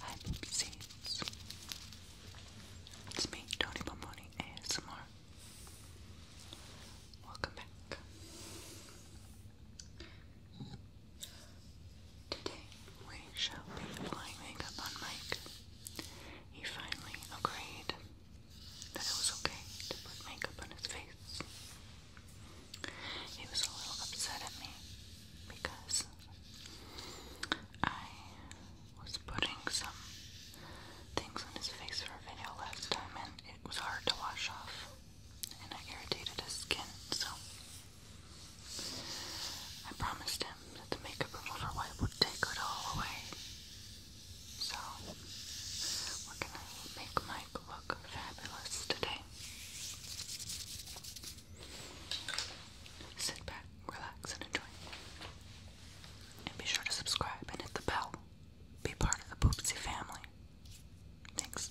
Hi Poopsies. It's me, Tony Bomboni ASMR. Welcome back. Today we shall be applying makeup on Mike. He finally agreed that it was okay to put makeup on his face. He was a little upset at me because I was putting some things on his face for a video last time and it was hard to wash off and I irritated his skin, so I promised him that the makeup remover wipe would take it all away. So we're gonna make Mike look fabulous today. Sit back, relax, and enjoy. And be sure to subscribe and hit the bell. Be part of the Poopsie family. Thanks.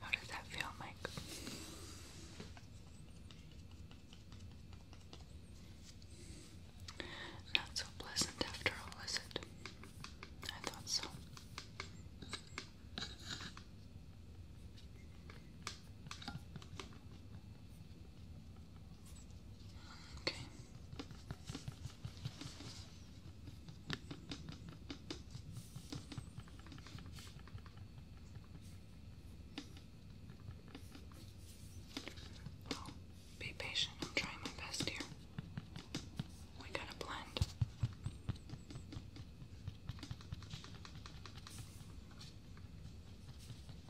How does that feel, Mike? Not so pleasant after all, is it? I thought so. Okay. be patient. I'm trying my best here. We gotta blend.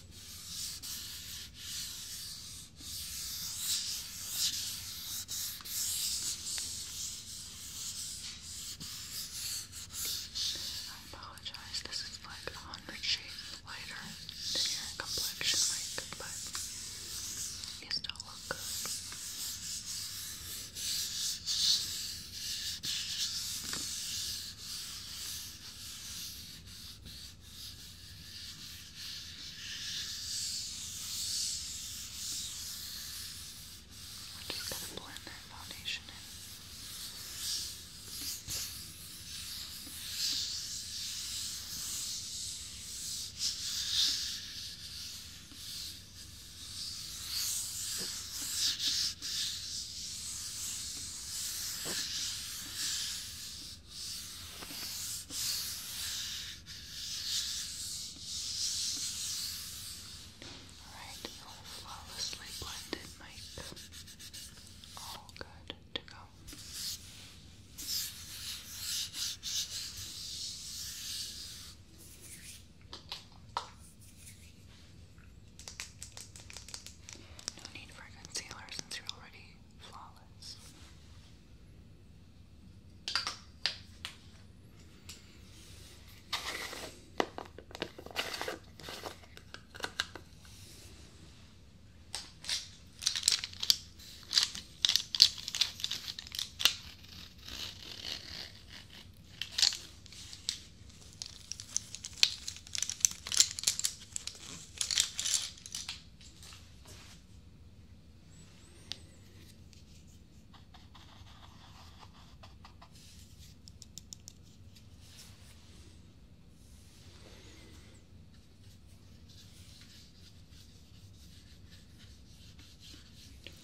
I apologize, this is like a hundred shades lighter than your complexion, like, but you still look good. Okay. We're just going to blend that foundation in. Alright, no flawlessly blended makeup. All good to go. No need for concealer since you're already flawless.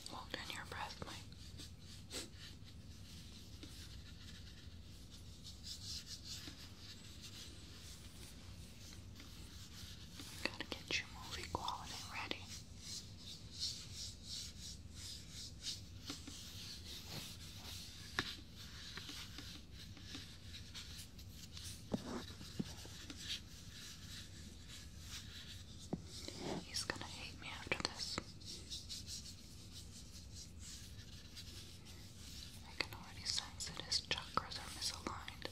Hold in your breath, Mike. Gotta get your movie quality ready. He's gonna hate me after this. I can already sense that his chakras are misaligned.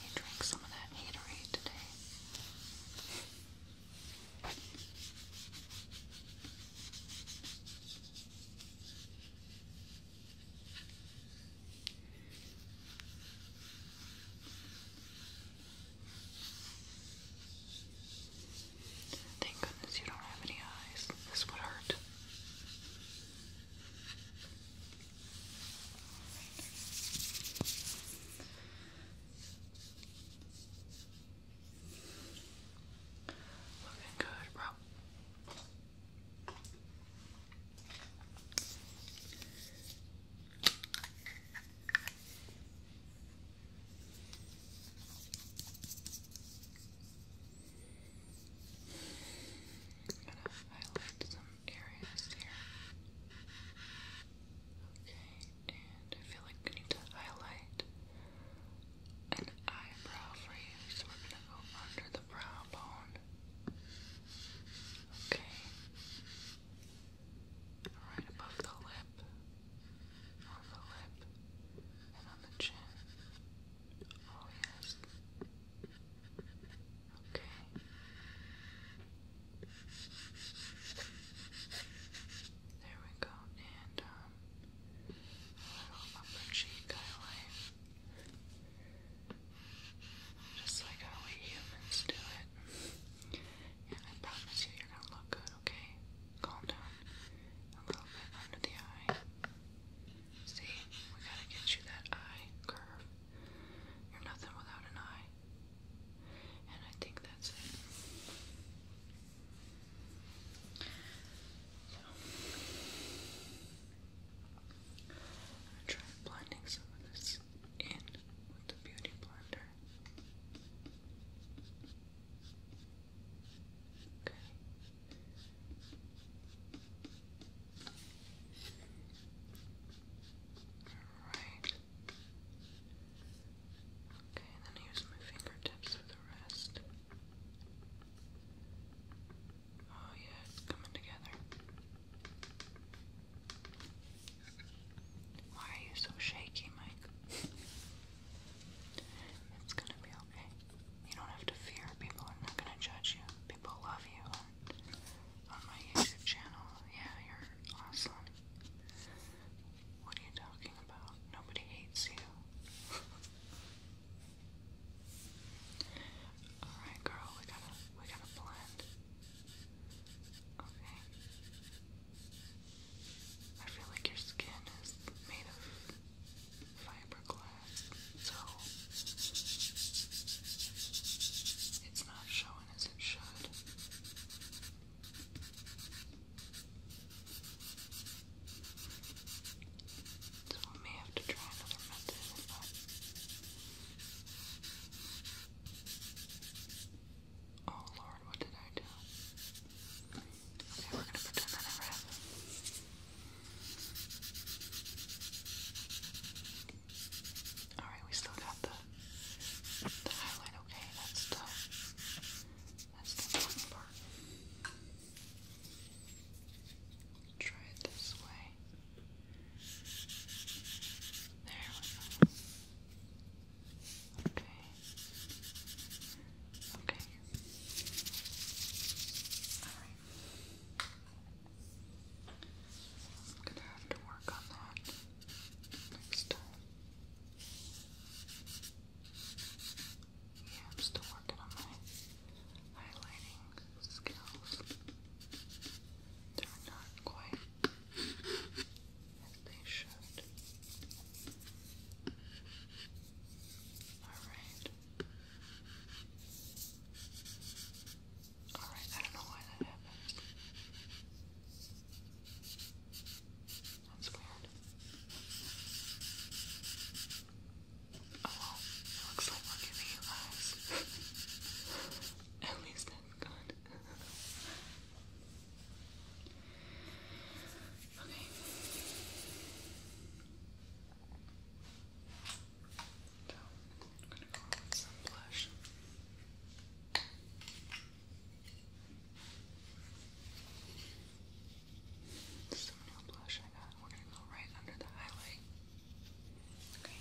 He drank some of that haterade today. Thank goodness you don't have any eyes. This would hurt. Looking good, bro. I'm going to highlight some areas here. Okay, and I feel like we need to highlight an eyebrow for you, so we're going to go under the brow bone. Okay. Right above the lip, on the lip, and on the chin. Oh, yes. There we go. And, a little upper cheek highlight. Just like how we humans do it. And I promise you, you're gonna look good, okay? calm down a little bit under the eye. See, we gotta get you that eye curve. You're nothing without an eye. And I think that's it. So, I'm gonna try blending some of this in with the beauty blender. Okay. Alright. Okay, and then I use my fingertips for the rest. Oh yeah, it's coming together. Why are you so shaky, Mike? it's gonna be okay you don't have to fear. People are not going to judge you. People love you. on my YouTube channel, yeah, you're awesome. What are you talking about? Nobody hates you. Alright, girl, we gotta, we gotta blend. Okay. I feel like your skin is made of fiberglass, so it's not showing as it should. So we may have to try another method Oh Lord, what did I do? Okay, we're gonna pretend that never happened. Alright, we still got the, the highlight, okay, that's the, that's the important part. Try it this way. There we go. Okay. Okay. Alright. I'm gonna have to work on that next time. Yeah, I'm still working on my highlighting skills. They're not quite as they should. Alright. Alright, I don't know why that happened. That's weird. Oh well, it looks like we're giving you eyes. At least that's good. okay. I'm going to go on some blush. Some new blush I got. We're going to go right under the highlight. Okay.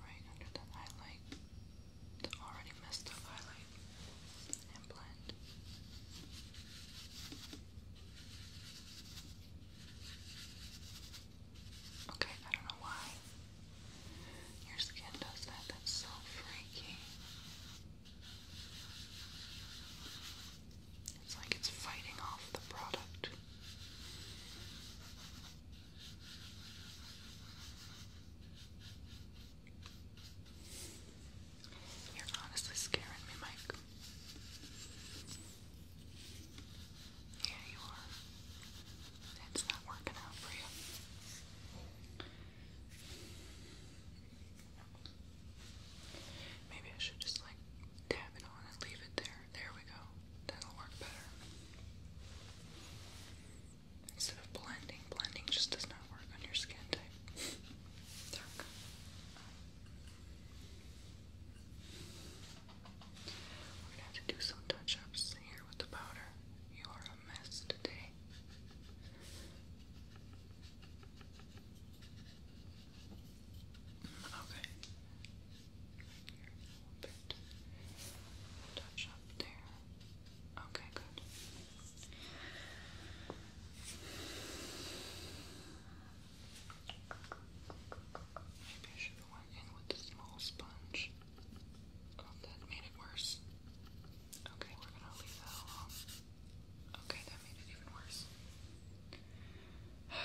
Right under the highlight. The already messed up highlight. Okay, I don't know why your skin does that. That's so freaky. It's like it's fighting off the product. You're honestly scaring me, Mike. Yeah, you are. It's not working out for you. Maybe I should just like dab it on and leave it there. There we go. That'll work better. Instead of blending, blending just does not work on your skin type. Dark. We're gonna have to do some touch-ups here with the powder. You are a mess today. Okay. Touch up there. Okay, good. Maybe I should have went in with the small sponge. Oh, that made it worse. Okay, we're gonna leave that alone. Okay, that made it even worse.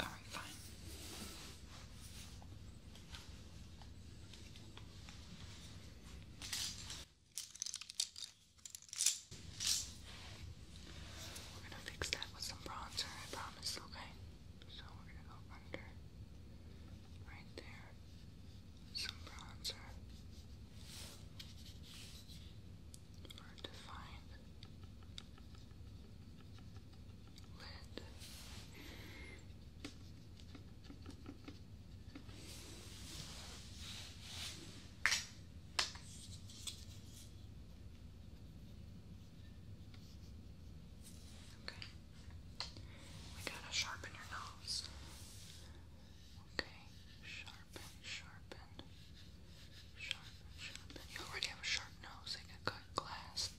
All right, fine. We're gonna fix that with some bronzer, I promise, okay? So we're gonna go under right there. Some bronzer for defined lid. Okay. We gotta sharpen your nose. Okay. Sharpen, sharpen, sharpen, sharpen. You already have a sharp nose. They can cut glass,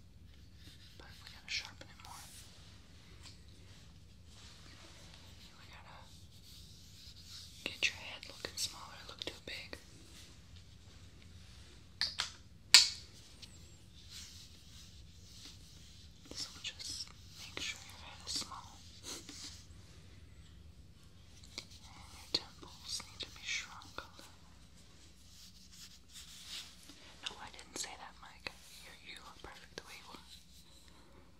but we gotta sharpen it more. We gotta get your head looking smaller, look too big. So just make sure your head is small. And your temples need to be shrunk a little. No, I didn't say that, Mike. you look perfect the way you are.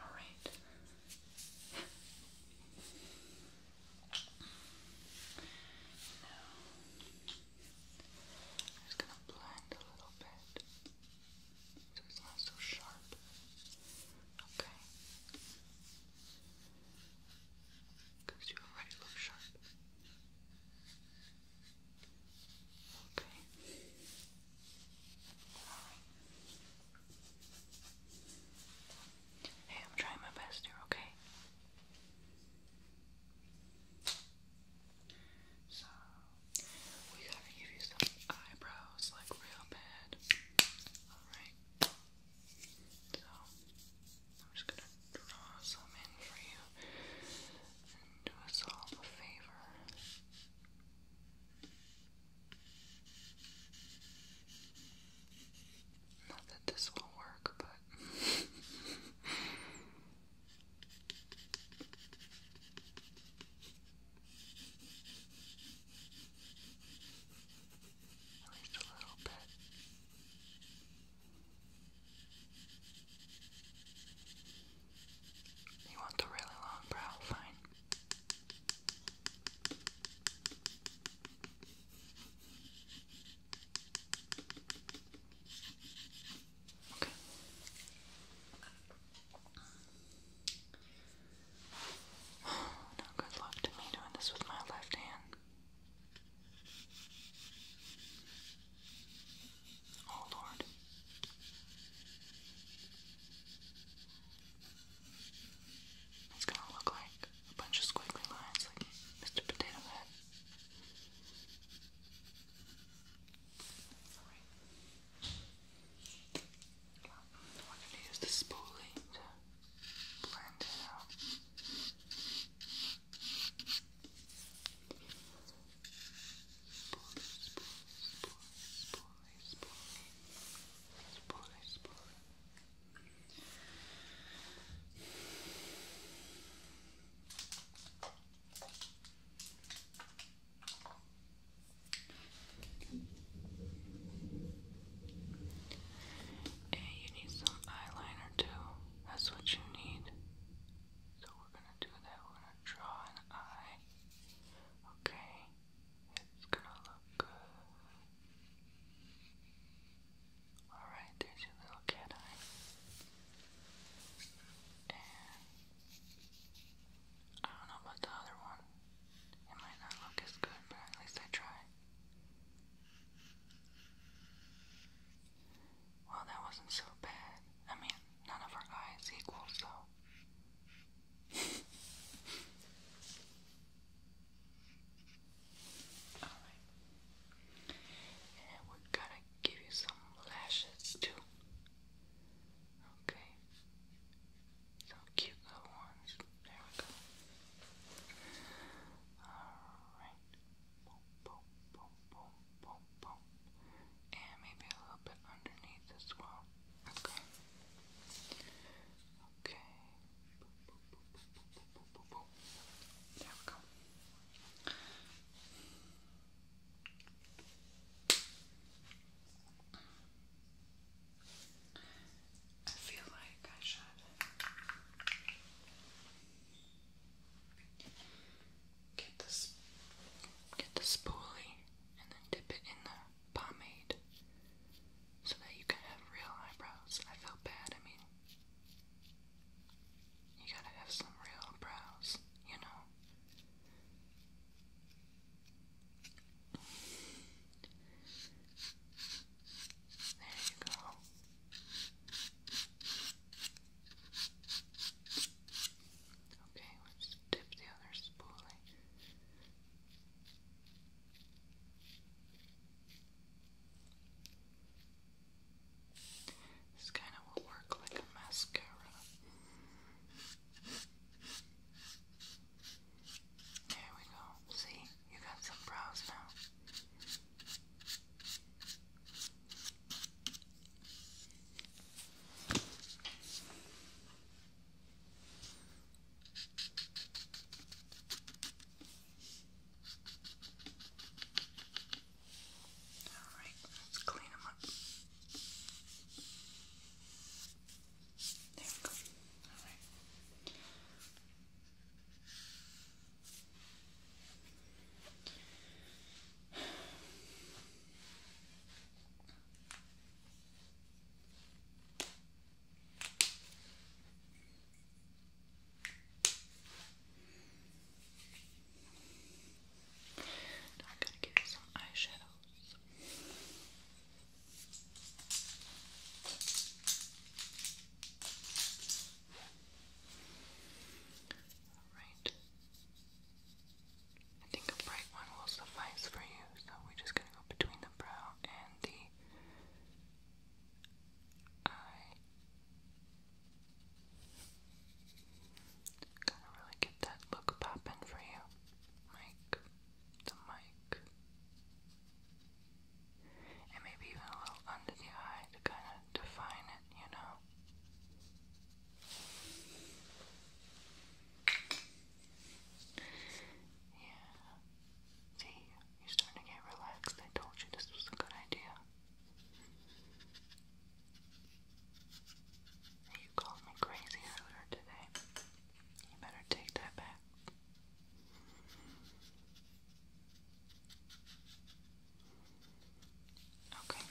All right. Now, I'm just going to blend a little bit so it's not so sharp. Okay. Because you already look sharp. Okay. Hey, I'm trying my best here, okay? So, we gotta give you some eyebrows, like real bad. Alright. So, I'm just gonna draw some in for you and do us all a favor. Not that this will work, but at least a little bit. You want the really long brow? Fine. Okay. Now, good luck to me doing this with my left hand. Oh, Lord. It's gonna look like a bunch of squiggly lines like Mr. Potato Head. Alright. Well, gonna use the spoolie to blend out spoolie, spoolie. Hey, you need some eyeliner too. That's what you need. So we're gonna do that. We're gonna draw an eye. Okay. It's gonna look good. Alright, there's your little cat eye. And I don't know about the other one. It might not look as good, but at least I try. Well, that wasn't so bad. I mean, none of our eyes equal, so Alright. And we're gonna give you some lashes too. Okay. Some cute little ones. There we go. Alright. Boom, boom, boom, boom, boom, boom. And maybe a little bit underneath as well. Okay. Okay. There we go. I feel like I should get this get the spoolie and then dip it in there pomade so that you can have real eyebrows. I feel bad, I mean, you gotta have some real brows, you know? There you go. Okay, let's dip the other spoolie. This kind of will work like a mascara. There we go. See, you got some brows now. Alright, let's clean them up. There we go. Alright. Okay. Now I'm going to give some eyeshadows. Alright. I think a bright one will suffice for you so we're just gonna go between the brow and the eye. Gotta really get that look poppin' for you. Mic, the mic. And maybe even a little under the eye to kind of define it, you know? Yeah. See, you're starting to get relaxed. I told you this was a good idea. You called me crazy earlier today. You better take that back. Okay.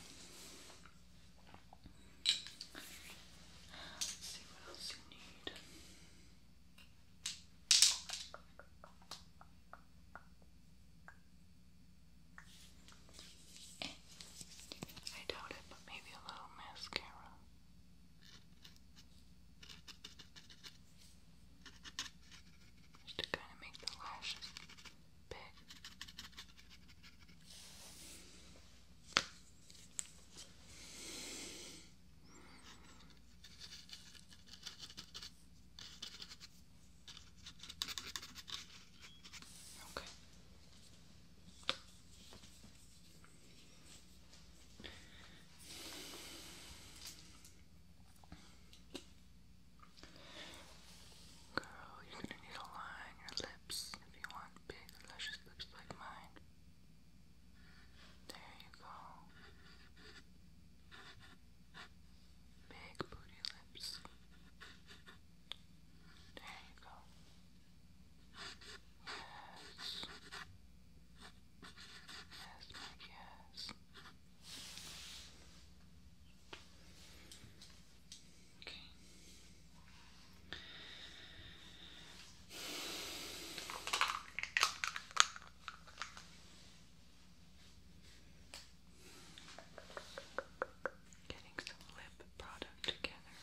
Let's see what else you need. And I doubt it, but maybe a little mascara. Just to kind of make the lashes big. Okay. Girl, you're gonna need a line your lips if you want big, luscious lips like mine. There you go. Big booty lips. There you go. Yes. Yes, Mike, yes. Okay. Getting some lip product together.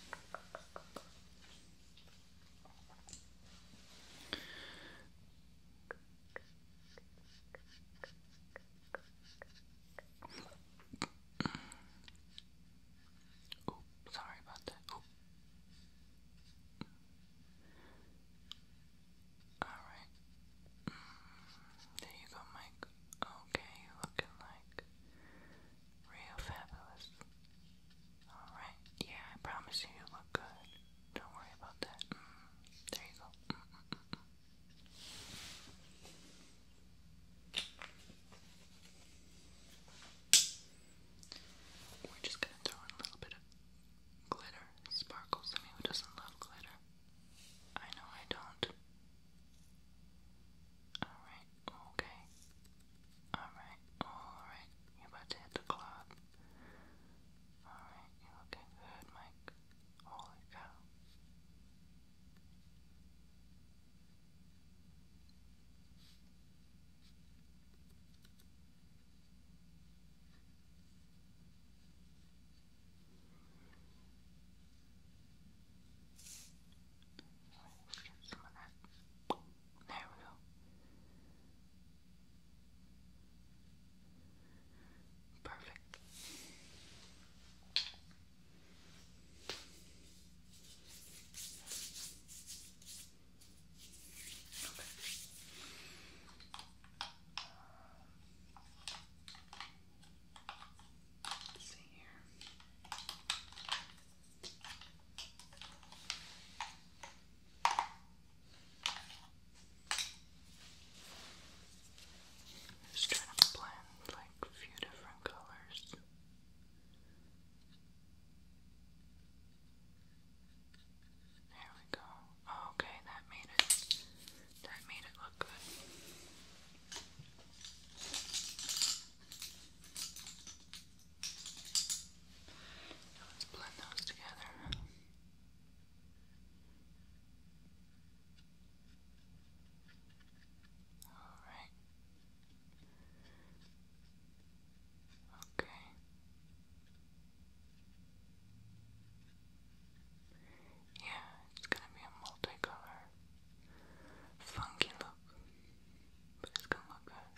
oh, sorry about that. Alright. Mm, there you go, Mike. Okay, you're looking like real fabulous. Alright, yeah, I promise you, you look good. Don't worry about that. Mm, there you go. Mm, we're just gonna throw in a little bit of glitter, sparkles. I mean, who doesn't love glitter? I know I don't. Alright, okay. Alright, alright. You're about to hit the clock. Alright, you're looking good, Mike. Holy cow. Let's get some of that. There we go. Perfect. Let's Just trying to blend like a few different colors. There we go. okay, that made it. That made it look good. let's blend those together. All right. Okay. Yeah, it's gonna be a multicolor, funky look, but it's gonna look good.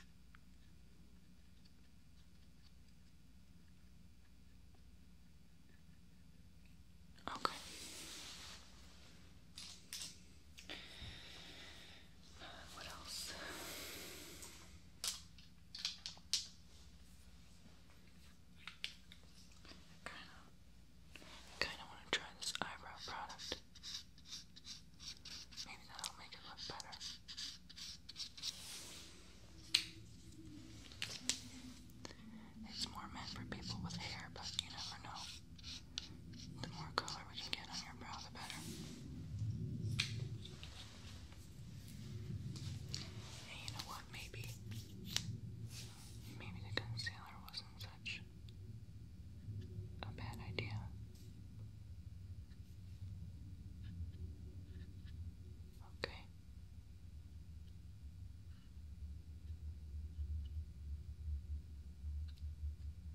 Okay. Uh, what else? kinda, kinda wanna try this eyebrow product. Maybe that'll make it look better. It's more meant for people with hair, but you never know. The more color we can get on your brow, the better. And you know what? Maybe, maybe the concealer wasn't such a bad idea. Okay.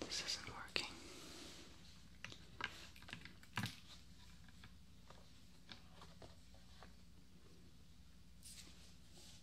This isn't working.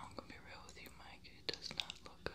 I'm gonna be real with you, Mike. It does not look good.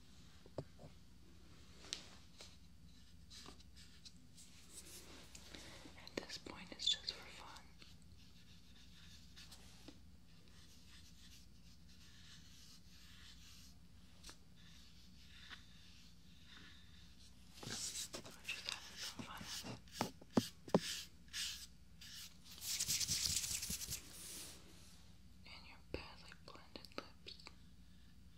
At this point, it's just for fun. And your badly blended lips.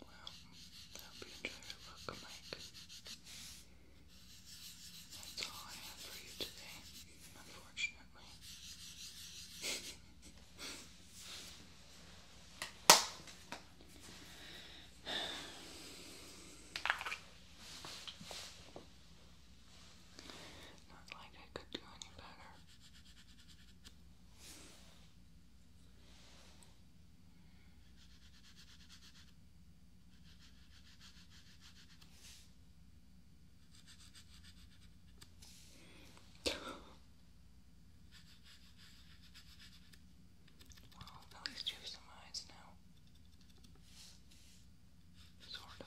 Well, I hope you enjoy your look, Mike. That's all I have for you today, unfortunately. Not like I could do any better. Well, at least you some eyes now. Sort of.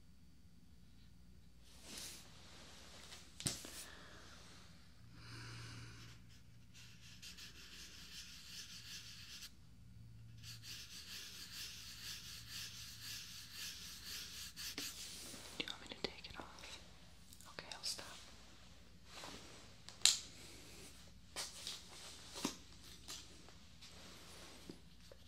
Do you want me to take it off? Okay, I'll stop.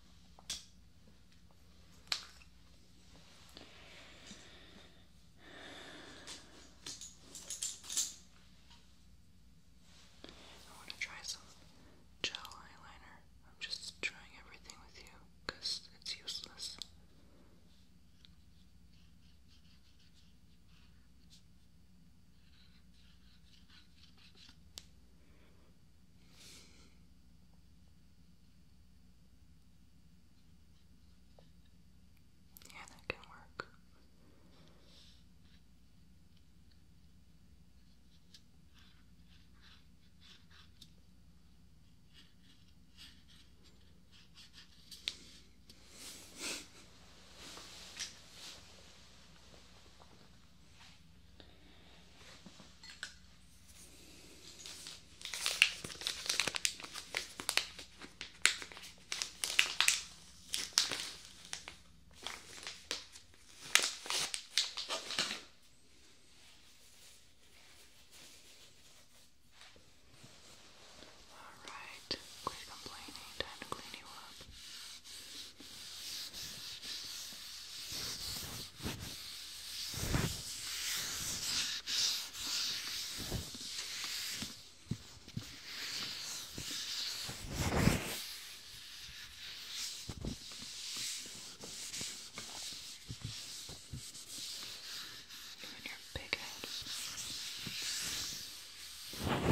I want to try some gel eyeliner. I'm just trying everything with you because it's useless. Yeah, that can work. All right, quit complaining. Time to clean you up. Even your big head. Good.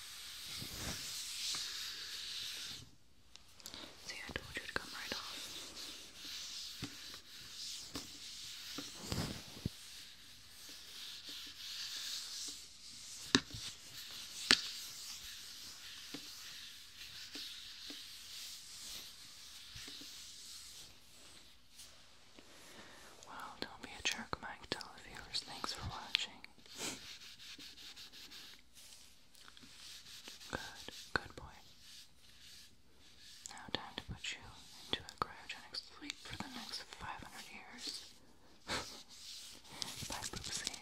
See, I told you to come right off. Well, don't be a jerk, Mike. Tell the viewers. Thanks for watching. Good, good boy. Now time to put you into a cryogenic sleep for the next 500 years. Bye, Boopsie.